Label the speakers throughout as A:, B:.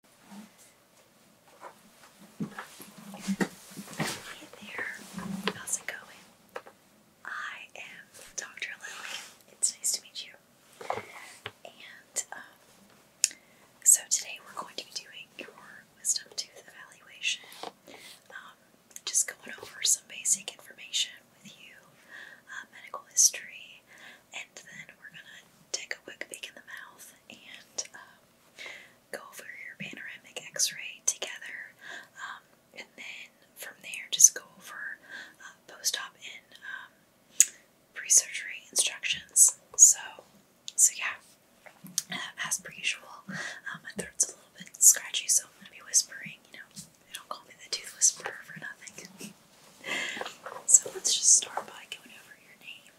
A: Hey there, how's it going? I am Dr. Lily. It's nice to meet you. And um, so today we're going to be doing your wisdom tooth evaluation. Um, just going over some basic information with you, uh, medical history, and then we're gonna take a quick peek in the mouth and um, go over your panoramic x-ray together um, and then from there just go over uh, post-op and um, pre-surgery instructions so so yeah uh, as per usual uh, my throat's a little bit scratchy so I'm gonna be whispering you know they don't call me the tooth whisperer for nothing so let's just start by going over your name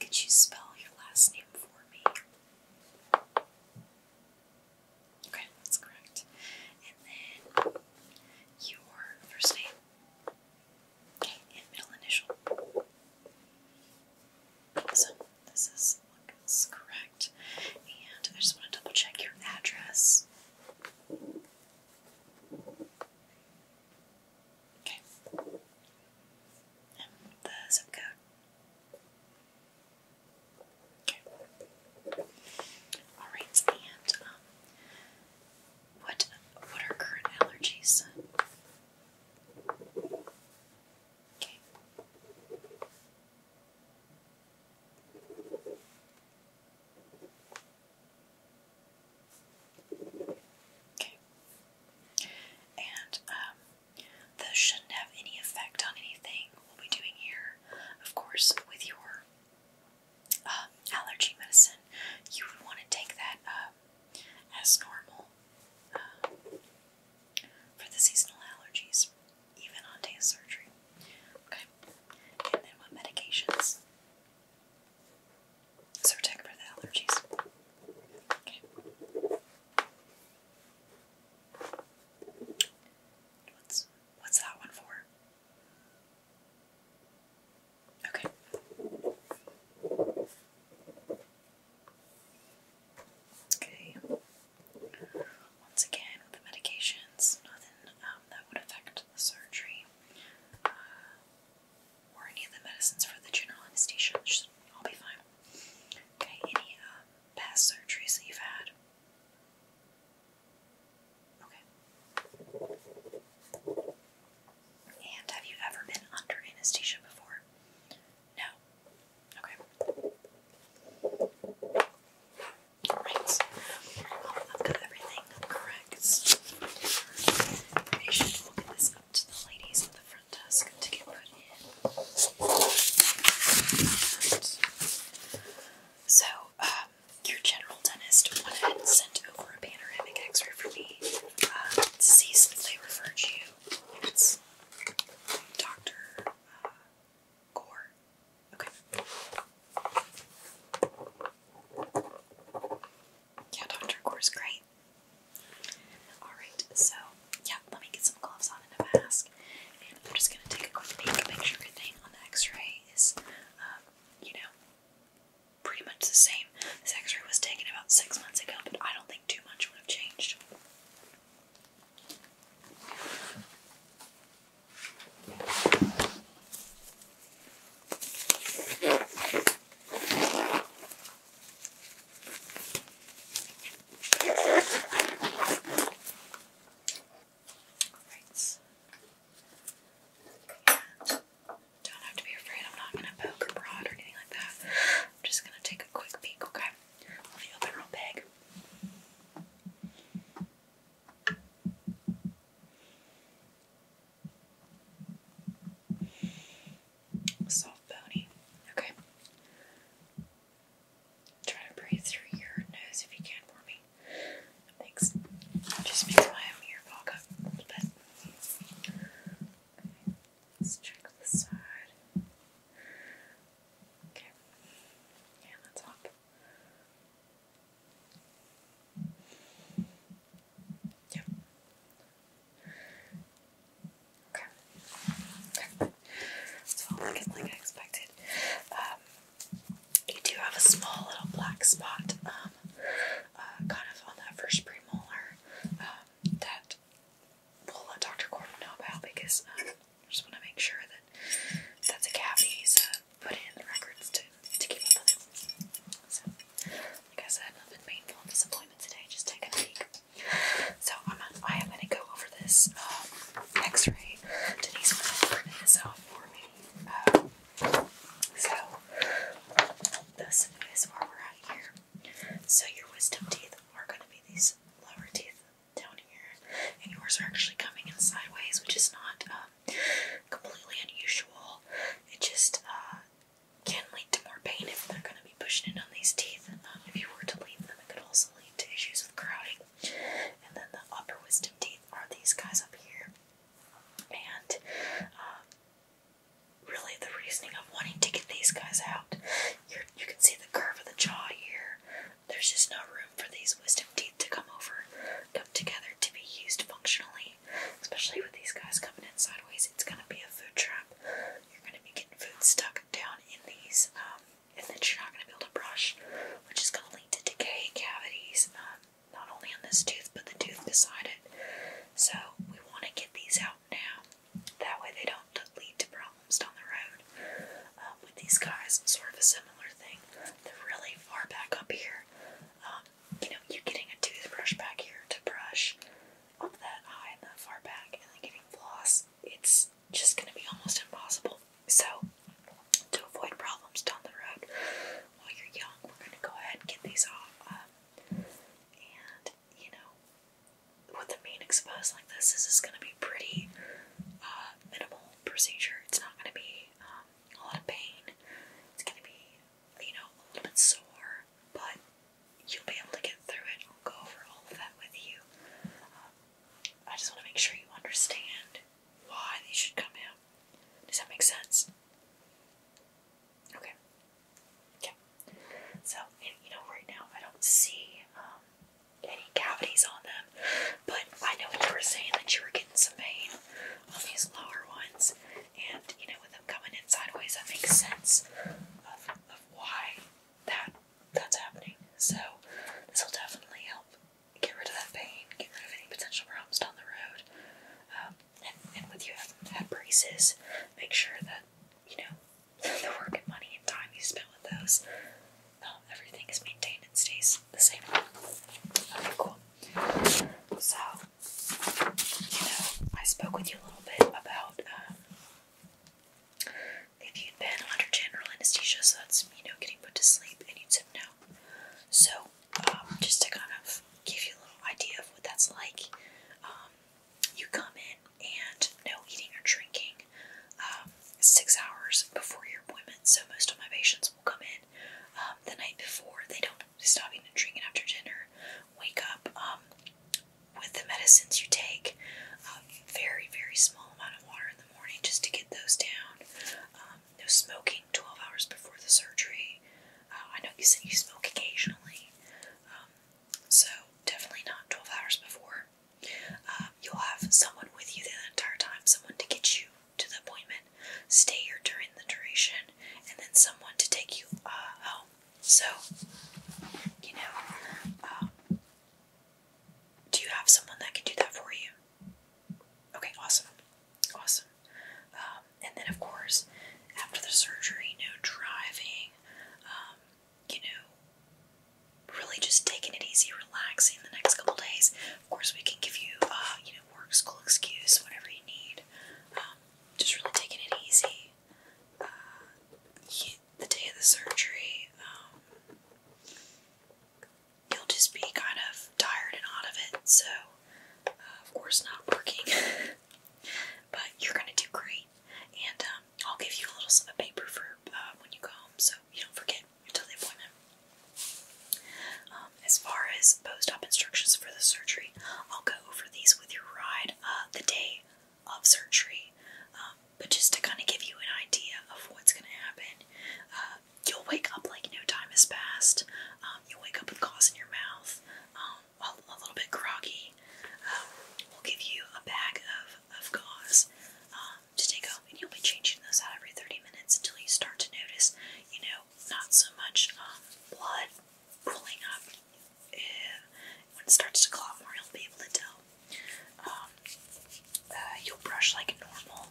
A: could you spell your last name for me? Okay, that's correct. And then your first name. Okay, and middle initial. So this is correct. And I just want to double check your address. Okay. the zip code. Okay. All right. And um, what what are current allergies? Okay. Okay. And um, this shouldn't have any effect on anything we'll doing here. Of course, with your um, allergy medicine, you would want to take that um, as normal um, for the seasonal allergies, even on day of surgery. Okay. And then what medications? So we're taking for the allergies. Okay. What's what's that one for? Okay. Okay. Once again, the medications, nothing um, that would affect the surgery. Uh, or any of the medicines for the general anesthesia should all be fine. Okay, any uh, past surgeries that you've had? Okay. And have you ever been under anesthesia before? No. Okay. Alright. I've got everything correct to the ladies at the front desk to get put in. so, um, your general dentist went sent over a panoramic x ray for me uh, see since they referred you. It's Dr. Uh, Gore. Okay. Yeah, Dr. Gore's great. Alright, so yeah, let me get some gloves on and a mask. I'm just gonna take a quick peek, make sure everything on the x-ray is, um, you know, pretty much the same. This x-ray was taken about six months ago, but I don't think too much would have changed. Right. And don't have to be afraid, I'm not going to poke or prod or anything like that. I'm just going to take a quick peek, okay? open real big. Soft bony. Okay. Try to breathe through your nose if you can for me. Thanks. Just makes my ear fog Let's check the side. Okay. And the top. Yeah. Okay. It's falling like I expected. Um, you do have a small little black spot, um, uh, kind of on that first premolar, um, that we'll let Dr. Corbin know about because I just want to make sure that that's a cavity So, uh, put in the records to, to keep up with it. Like I said, nothing painful disappointment today, just taking a peek. So I'm I am going to go over this um, X-ray. Denise went over this um, for me. Um, so this is where we're at here. So your wisdom teeth are gonna be these lower teeth down here, and yours are actually coming in sideways, which is not um, completely unusual. It just uh, can lead to more pain if they're going to be pushing in on these teeth. Um, if you were to leave them, it could also lead to issues with crowding. And then the upper wisdom teeth are these guys up here. And um, really, the reasoning of wanting to get these guys out, you can see the curve of the jaw here. There's just no room for these wisdom teeth to come over, come together to be used functionally Especially with these guys coming in sideways, it's gonna be a food trap. You're gonna be getting food stuck down in these, um, and then you're not gonna be able to brush, which is gonna lead to decay cavities, um, not only on this tooth but the tooth beside it. So we want to get these out now. That way they don't lead to problems down the road. Um, with these guys, sort of a similar thing. They're really far back up here you know, you getting a toothbrush back here to brush up that high and that far back, and then getting floss, it's just going to be almost impossible. So, to avoid problems down the road while you're young, we're going to go ahead and get these off. Um, and, you know, with the mane exposed like this, this is going to be pretty uh, minimal procedure. It's not going to be um, a lot of pain. It's going to be you know, a little bit sore, but you'll be able to get through it. I'll go over all of that with you. Um, I just want to make sure you understand why they should come out. Does that make sense? Okay. Okay. So, you know, right now I don't see um, any cavities on them, but I know you were saying that you were getting some pain on these lower ones, and you know, with them coming in sideways, that makes sense of, why that that's happening. So this will definitely help get rid of that pain, get rid of any potential problems down the road. Um, and, with you having braces, make sure that you know the work and money and time you spend with those, um, everything is maintained and stays the same. Okay, cool. So you know, I spoke with you a little bit about uh, if you'd been under general anesthesia, so that's, you know, getting put to sleep, and you said no. So, um, just to kind of give you a little idea of what that's like, um, you come in and no eating or drinking um, six hours before your appointment. So, most of my patients will come in the night before. They don't stop eating and drinking after dinner, wake up um, with the medicines you take. A um, very, very small amount of water in the morning just to get those down. Um, no smoking 12 hours before the surgery. Uh, I know you said you smoke occasionally, um, so definitely not 12 hours before. Uh, you'll have someone with you the entire time, someone to get you to the appointment stay here during the duration, and then someone to take you uh, home. So, you know, um, do you have someone that can do that for you? Okay, awesome, awesome. Um, and then, of course, after the surgery, no driving. Um, you know, really just taking it easy, relaxing the next couple days. Of course, we can give you, uh, you know, work, school excuse, whatever you need. Um, just really taking it easy. Uh, the day of the surgery, um, you'll just be kind of tired and out of it, so uh, of course not working. but you're gonna do great, and um, I'll give you a little slip of paper for uh, when you go home, so you don't forget until the appointment. Um, um, as far as post-op instructions for the surgery, I'll go over these with your ride uh, the day of surgery. Um, but just to kind of give you an idea of what's going to happen, uh, you'll wake up like no time has passed. Um, you'll wake up with gauze in your mouth, a, little bit groggy. we'll give you a bag of, of gauze to take home, and you'll be changing those out every 30 minutes until you start to notice, you know, not so much blood pulling up, when it starts to claw more, you'll be able to tell. Um, uh, you'll brush like normal.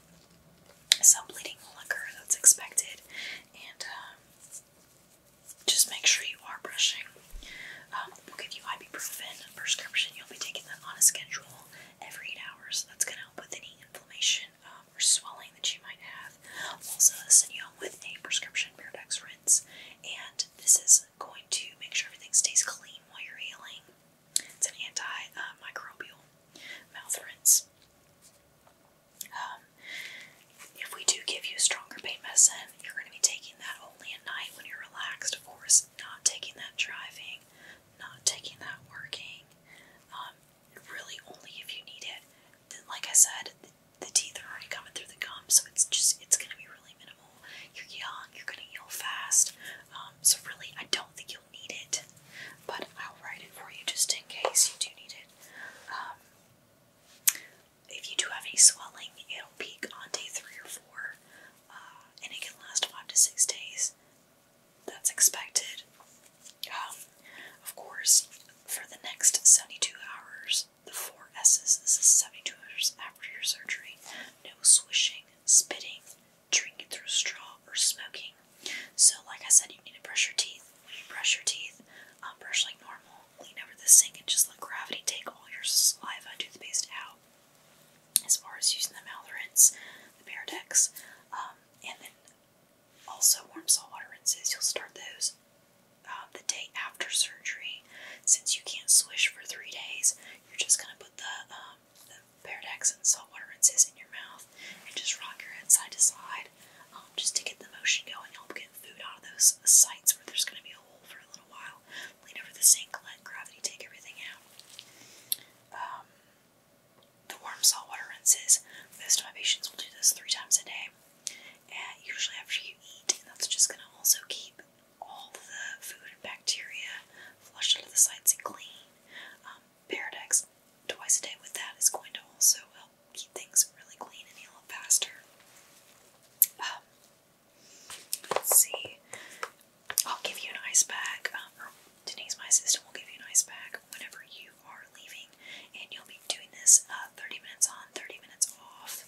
A: Some bleeding will occur, that's expected. And um, just make sure you are brushing. Um, we'll give you ibuprofen prescription. You'll be taking that on a schedule every eight hours. That's going to help with any inflammation congestion um, or swelling that you might have. We'll also send you home with a prescription Paradex rinse, and this is going to make sure everything stays clean while you're healing. It's an antimicrobial mouth rinse. Um, if we do give you stronger pain medicine, you're going to be taking that only at night when you're relaxed. Of course, not taking that driving, not taking that working. Um, really only if you need it. Then, like I said, the, teeth are already coming through the gum, so it's just it's gonna be really minimal. You're young, you're gonna heal fast, um, so really I don't think you'll need it. But I'll write it for you just in case you do need it. Um, if you do have any swelling, it'll peak on day three or four, uh, and it can last five to six days. That's expected. Um, of course, for the next 72 hours, the four S's, this is 72 hours after your surgery, no swishing, spitting, drinking through straw, or smoking. So, like I said, you need to brush your teeth. When you brush your teeth, um, brush like normal, lean over the sink, and just let gravity take all your saliva and toothpaste out. As far as using the mouth rinse, the Paradex, um, and then also, warm salt water rinses. You'll start those uh, the day after surgery. Since you can't swish for three days, you're just gonna put the um, and salt water rinses in your mouth and just rock your head side to side, um, just to get the motion going. Help get food out of those sites where there's gonna be a hole for a little while. Lean over the sink, let gravity take everything out. Um, the warm salt water rinses. Most of my patients will do this three times a day and usually after you eat, that's just going to also keep all the food and bacteria flushed out of the sides and clean. Um, Paradox, twice a day with that is going to also help keep things really clean and heal up faster. Um, let's see. I'll give you an ice bag. Um, Denise, my assistant, will give you an ice bag whenever you you are leaving, and you'll be doing this uh, 30 minutes on, 30 minutes off.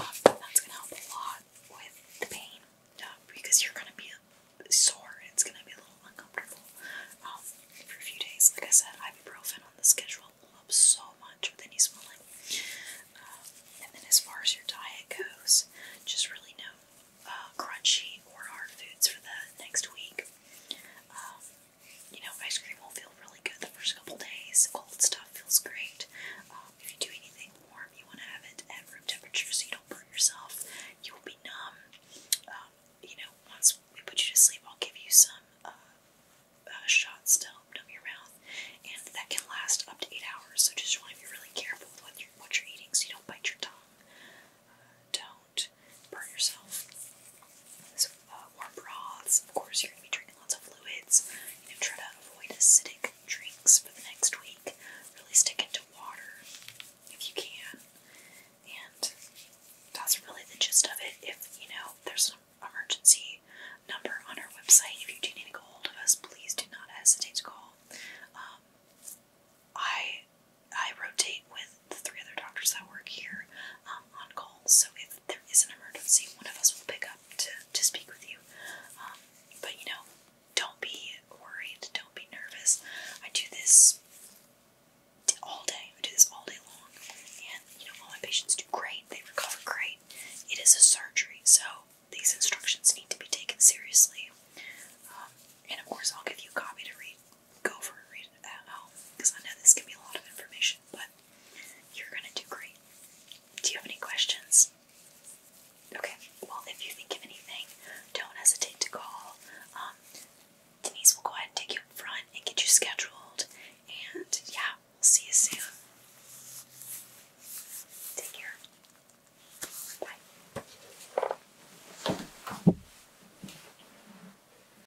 A: Um, that's going to help a lot with the pain um, because you're going to be sore. It's going to be a little uncomfortable um, for a few days. Like I said, ibuprofen on the schedule helps so much with any swelling. Um, and then as far as your diet goes, just really no uh, crunchy or hard foods for the next week you know, ice cream will feel really good the first couple days. Cold stuff feels great. Um, if you do anything warm, you want to have it at room temperature so you don't burn yourself. You will be numb. Um, you know, once we put you to sleep, I'll give you some uh, uh, shots to numb your mouth, and that can last up to eight hours. So just want to be really careful with what you're, what you're eating so you don't bite your tongue. Uh, don't do burn yourself. Uh, warm broths, of course, you're going to be drinking lots of fluids. You know, try to avoid acidic drinks for the next week. Really stick into water if you can. And that's really the gist of it. If, you know, there's an emergency number on our website, if you do need to get hold of us, please do not hesitate to call. Um, I I rotate with the three other doctors that work here um, on call. So if there is an emergency, one of us will pick up to to speak with you. Um, but you know, don't be worried. Don't be nervous. I do this all day. I do this all day long, and you know, all my patients do great. They recover great. It is a surgery, so these instructions need to be taken seriously. Um, and of course, I'll give you a copy to read go for a read at home um, because I know this can be a lot of information, but you're gonna do great. Do you have any questions? Okay, well, if you think of anything, don't hesitate to call. Um, Denise will go ahead and take you up front and get you scheduled. And yeah, we'll see you soon. Take care. Bye.